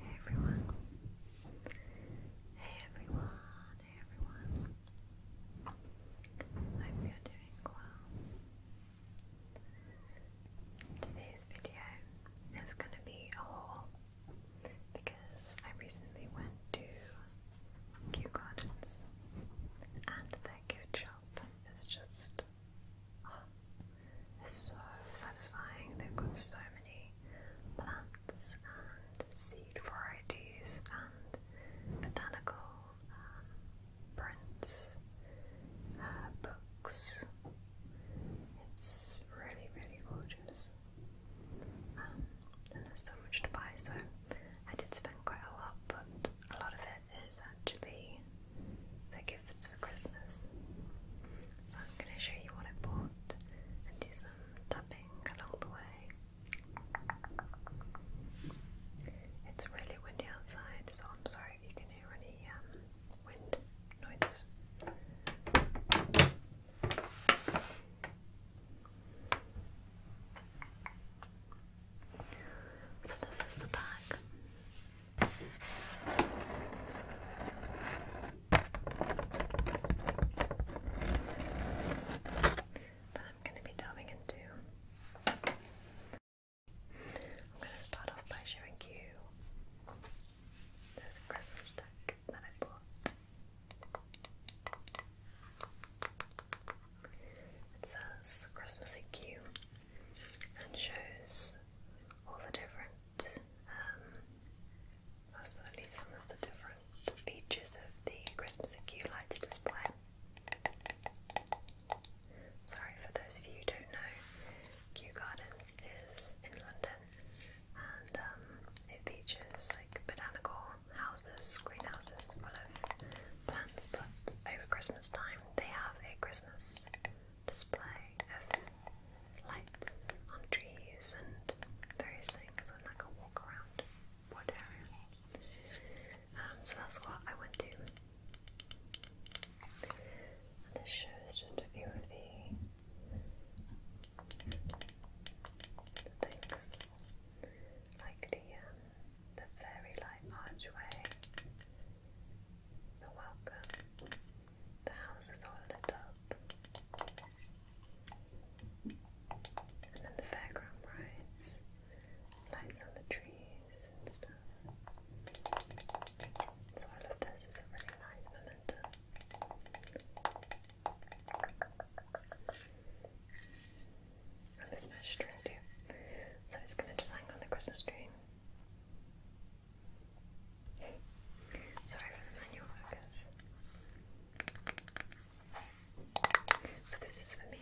Hey everyone. Hey everyone. Hey everyone. Hope you're doing well. Today's video is going to be a haul because I recently went to Kew Gardens and their gift shop is just it's so satisfying. They've got so many plants and seed varieties and botanical um, prints, uh, books. It's really, really gorgeous. Um, and there's so much to buy, so I did spend quite a lot, but a lot of it is actually the gifts for Christmas. So I'm going to show you what I bought and do some tapping along the way. It's really windy outside, so I'm sorry if you can hear any um, wind noises. So this is the bag that I'm going to be delving into. I'm going to start off by showing you this Christmas deck that I bought. It says Christmassy Q and shows all the different, um, at least some of the different features of the Christmas and Q lights display. Sorry for those of you who don't know, Q Gardens is in London and um, it features like botanical houses, greenhouses full of plants, but over Christmas time they have a Christmas display of lights on trees and various things and like a walk around wood area. Um, so that's what I went to. And this shows just a few of the, the things like the um, the fairy light archway you're welcome. The house is all lit up. And then the fairground rides, lights on the trees and stuff. So all of this is a really nice memento on this nice string too. So it's gonna just hang on the Christmas tree. Sorry for the manual focus. So this is for me.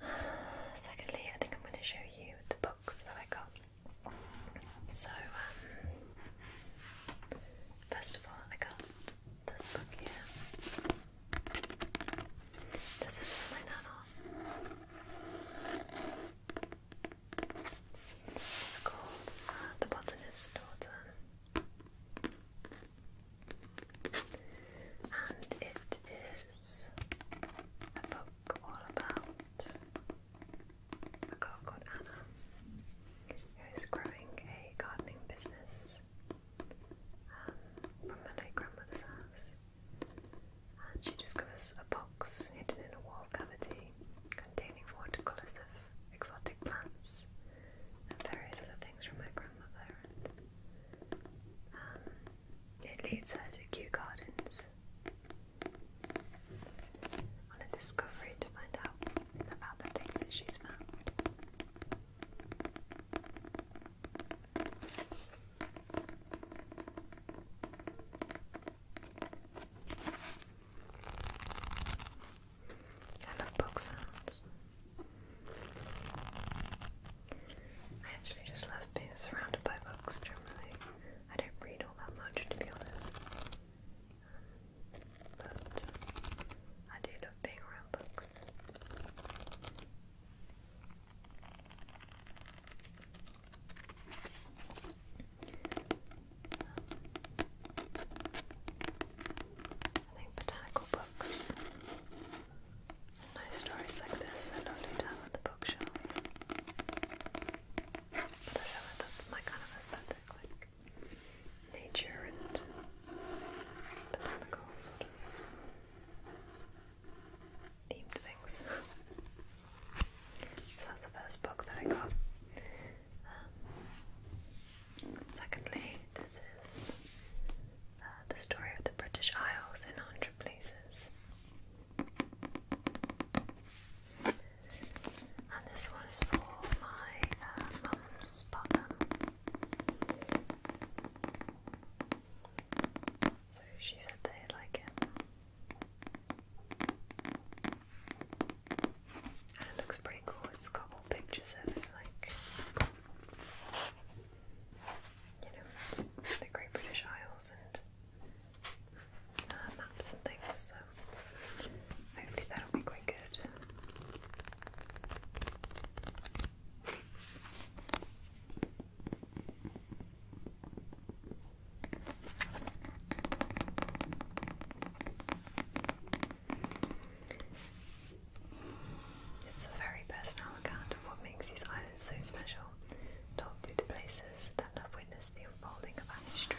Secondly, I think I'm going to show you the books that I got. So, um, first of all, I got this book here. This is my novel. It's called uh, The Botanist's Daughter. And it is a book all about a girl called Anna who is growing a gardening business um, from my late grandmother's house. And she discovers a box hidden in a wall cavity containing watercolours of exotic plants and various other things from my grandmother. Um, it leads her to Kew Gardens on a discovery to find out about the things that she's found. I love book I actually just love being surrounded by books generally. I don't read all that much to be honest. Um, but I do love being around books. I think botanical books and stories like this I don't do on the bookshelf. But I don't know, that's my kind of aesthetic, like nature and botanical sort of themed things. that's the first book that I got. Um, secondly, this is uh, The Story of the British Isles in 100 Places. And this one is for my uh, mum's partner. So she said they like it. And it looks pretty cool. It's got all pictures of like you know the Great British Isles and uh, maps and things. So hopefully that'll be quite good. It's a very personal account of what makes these islands so special. Talk through the places that have witnessed the unfolding of our history.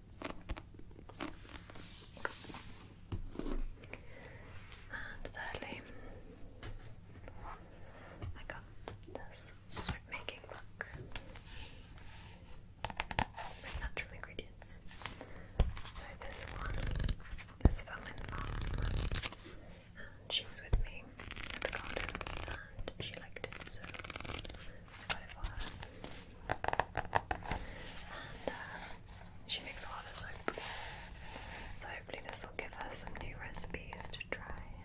And thirdly, I got this soap making book with natural ingredients. So this one, this woman mom, and she was with me at the gardens and she liked it so uh, she makes a lot of soap. So hopefully this will give her some new recipes to try.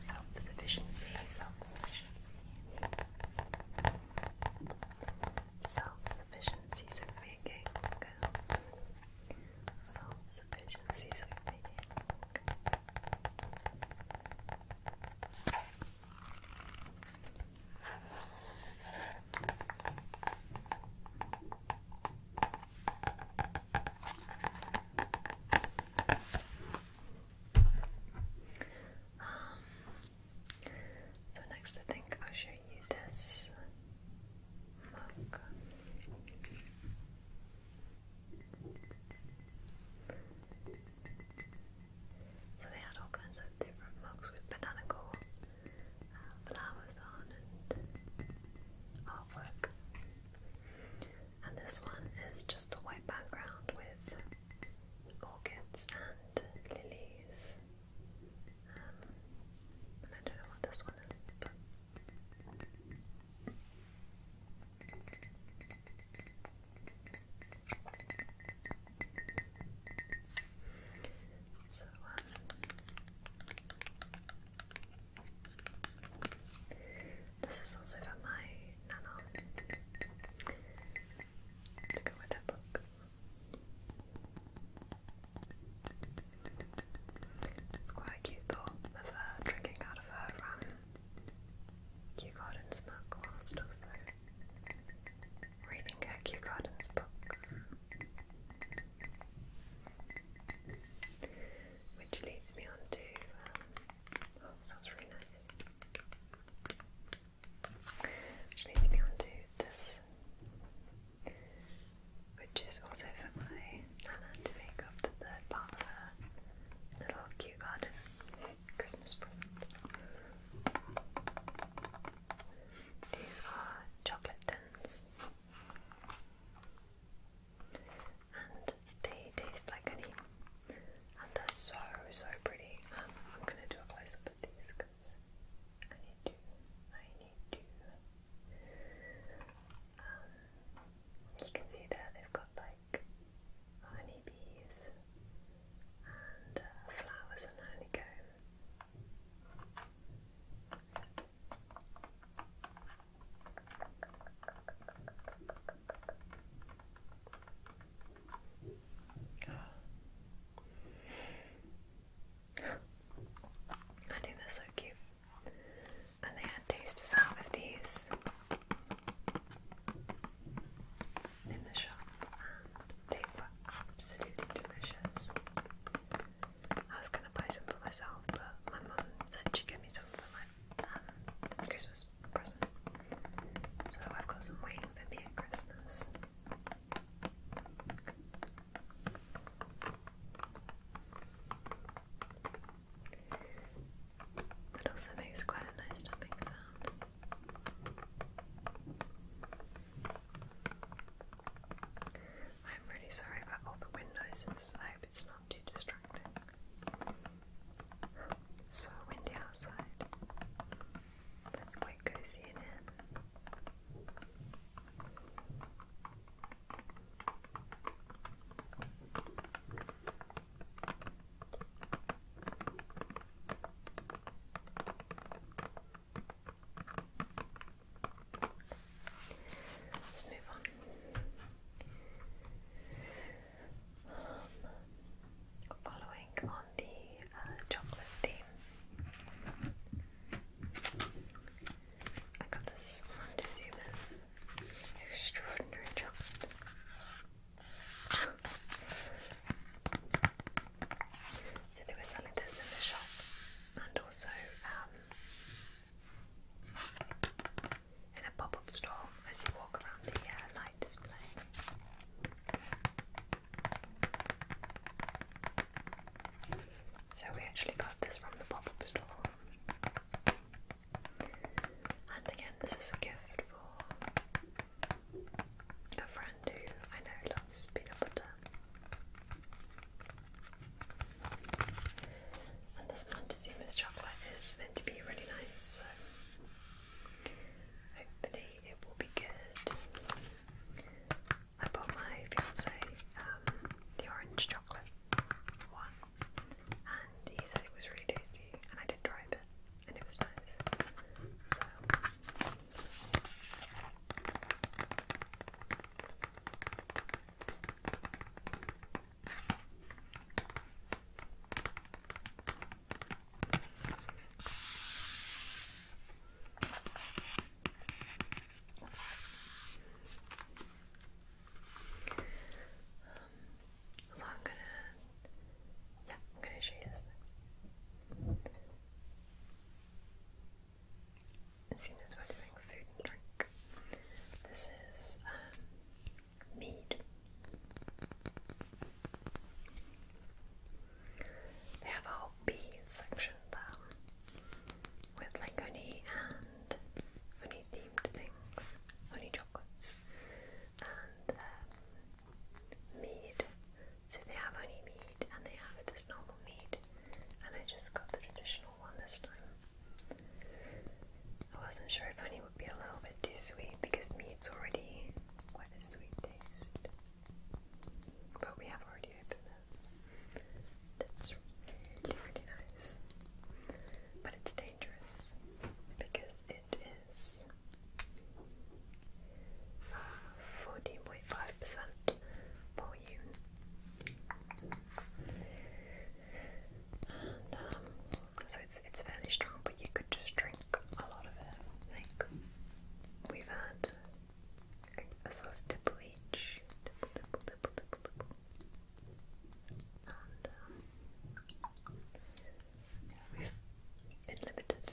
Self-sufficiency, self-sufficiency. Self-sufficiency self sufficiency, Self-sufficiency um, so next I think I'll show you this mug. So they had all kinds of different mugs with botanical uh, flowers on and artwork. And this one is just a white background with orchids and lilies. Um, and I don't know what this one is, so, um, this is also from my nana to go with that book. It's quite cute thought of her drinking out of her um, Kew Gardens Whilst also reading her book, which leads me on um, oh, sounds really nice. Which leads me on this, which is also for my Nana to make up the third part of little cute garden Christmas present. These are chocolate thins. And they taste like honey. And they're so, so pretty. Um, I'm going to do a close up of these because I need to. I need to. Um, you can see that they've got like honeybees and uh, flowers and honeycomb. I think they're so cute and they had tasters out of these in the shop, absolutely delicious. I was gonna buy some for myself, but my mum said she'd get me some for my um, Christmas present, so I've got some waiting for me at Christmas. That also makes quite a nice tapping sound. I'm really sorry about all the wind noises. I hope it's not too distracting. It's so windy outside. That's quite cozy in here. Let's move on. Um, following on the uh, chocolate theme, I got this on Dizuma's Extraordinary Chocolate. so they were selling this in the shop, and also um, in a pop-up store as you walk around the uh, light display. So we actually got this from the pop-up store. And again, this is a gift for a friend who I know loves peanut butter. And this Montezuma's chocolate is meant to be really nice, so hopefully it will be good. I bought my fiance um, the orange chocolate one, and he said it was really tasty, and I did try a bit, and it was nice. So so I'm gonna, yeah, I'm gonna show you this next. As as we're food drink, this is um, mead. They have a B section them with like honey and honey themed things, honey chocolates, and um, mead. So they have honey mead and they have this normal mead, and I just got the traditional one this time. I wasn't sure if honey would be a little bit too sweet because mead's already quite a sweet taste. But we have already opened that's really, nice. But it's dangerous because it is 14.5% volume. And, um, so it's it's fairly strong, but you could just drink a lot of it. Like we've had a sort of double H, double, double, double, double, double. And um, we've been limited,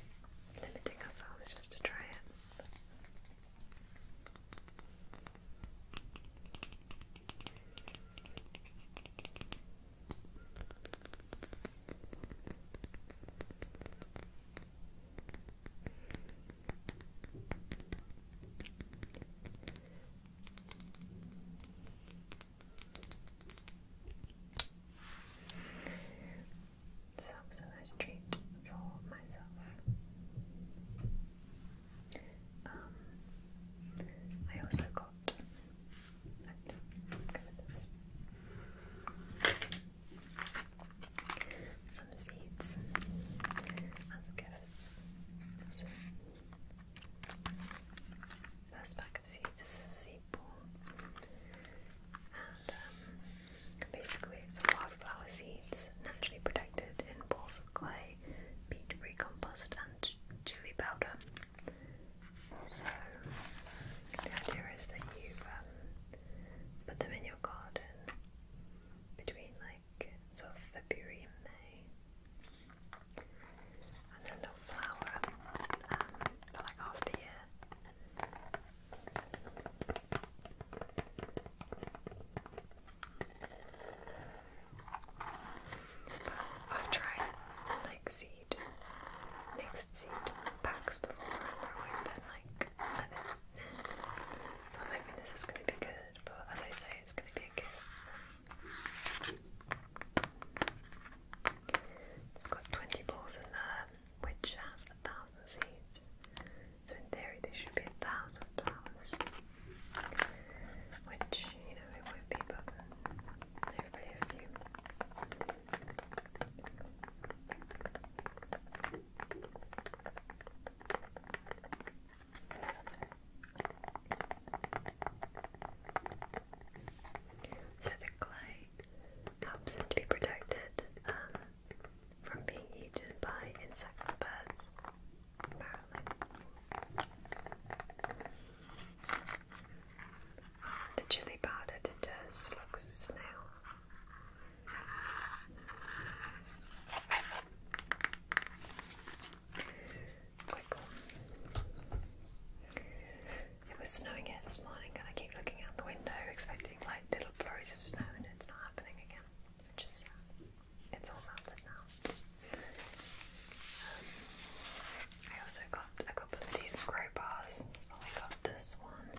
limiting ourselves just to try it. So that a nice treat for myself. Um, I also got some seeds and some carrots. So, first pack of seeds is a seed ball, and um, basically it's wildflower seeds, naturally protected in balls of clay, peat compost, and chili powder. So the idea is that you um, put them in your garden between like sort February and May. And then they'll flower um, for like half year. I've tried like seed, mixed seed packs before, and like, so I'm hoping this is going to be good, but as I say, it's going to be a gift. It's got 20 balls in there, which has a thousand seeds. So in theory, there should be a thousand flowers. Which, you know, it won't be, but hopefully a few. So the clay helps him to be protected um, from being eaten by insects and birds, The chili powder deters slugs and it was snowing here this morning, and I keep looking out the window, expecting like little flurries of snow, and it's not happening again. It's all melted now. Um, I also got a couple of these crowbars. Oh, I got this one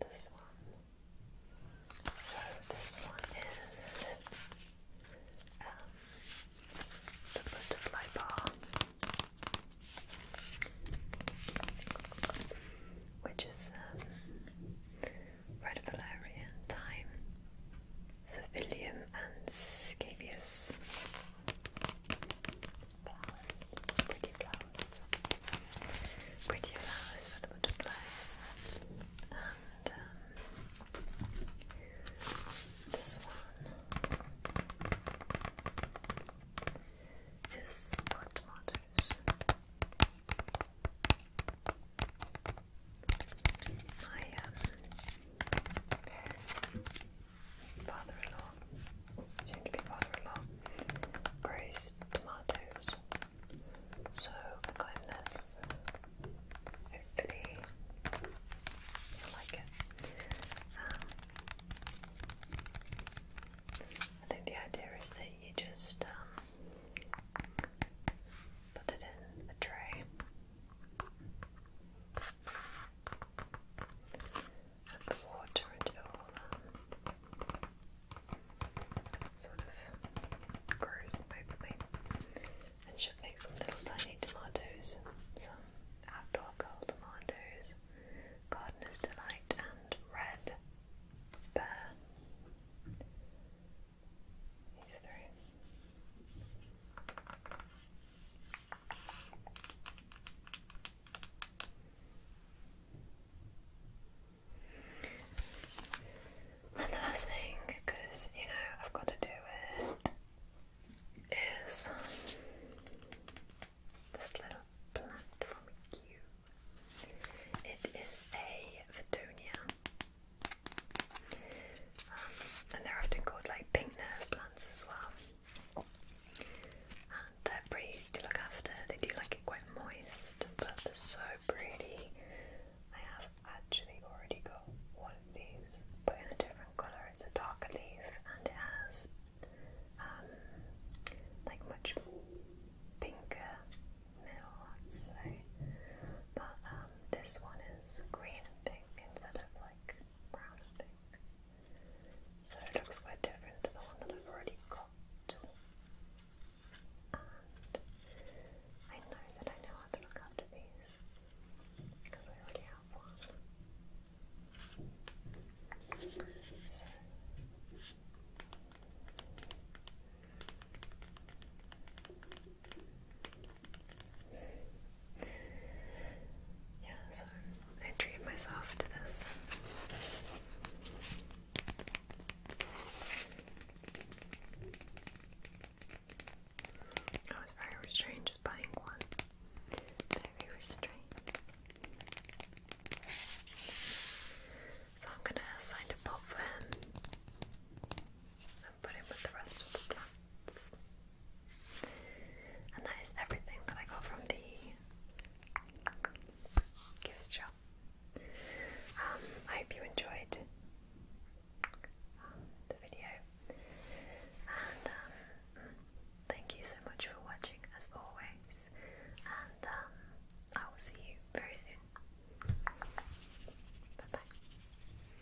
this one. So this one is um, the butterfly bar, which is um, red valerian, thyme, Savilium, and scabious flowers, pretty flowers, pretty flowers for the butterflies, and um, this one is for tomatoes. My um, father-in-law, soon to be father-in-law, grows tomatoes. So got this. Hopefully, I like it. Um, I think the idea is that you just um, put it in a tray and the water and it all uh, sort of grows hopefully and should make some little tiny tomatoes, some outdoor girl tomatoes, gardener's delight and red bear. These three. And the last thing, because you know I've got to do it, is this little plant from Q. It is a Vedonia, um, and they're often called like pink nerve plants as well they're pretty to look after. They do like it quite moist, but they're so pretty. I have actually already got one of these, but in a different colour. It's a darker leaf, and it has um, like much pinker middle, I'd say. But um, this one is green and pink instead of like so it looks quite different to the one that I've already got. And I know that I know how to look after these because I already have one. Yeah, so I treat myself to this. I was very restrained just buying one. Very restrained. So I'm gonna find a pot for him and put him with the rest of the plants. And that is everything that I got from the gift shop. Um, I hope you enjoyed um, the video. And um, thank you so much for watching, as always. And I will see you very soon. Bye bye.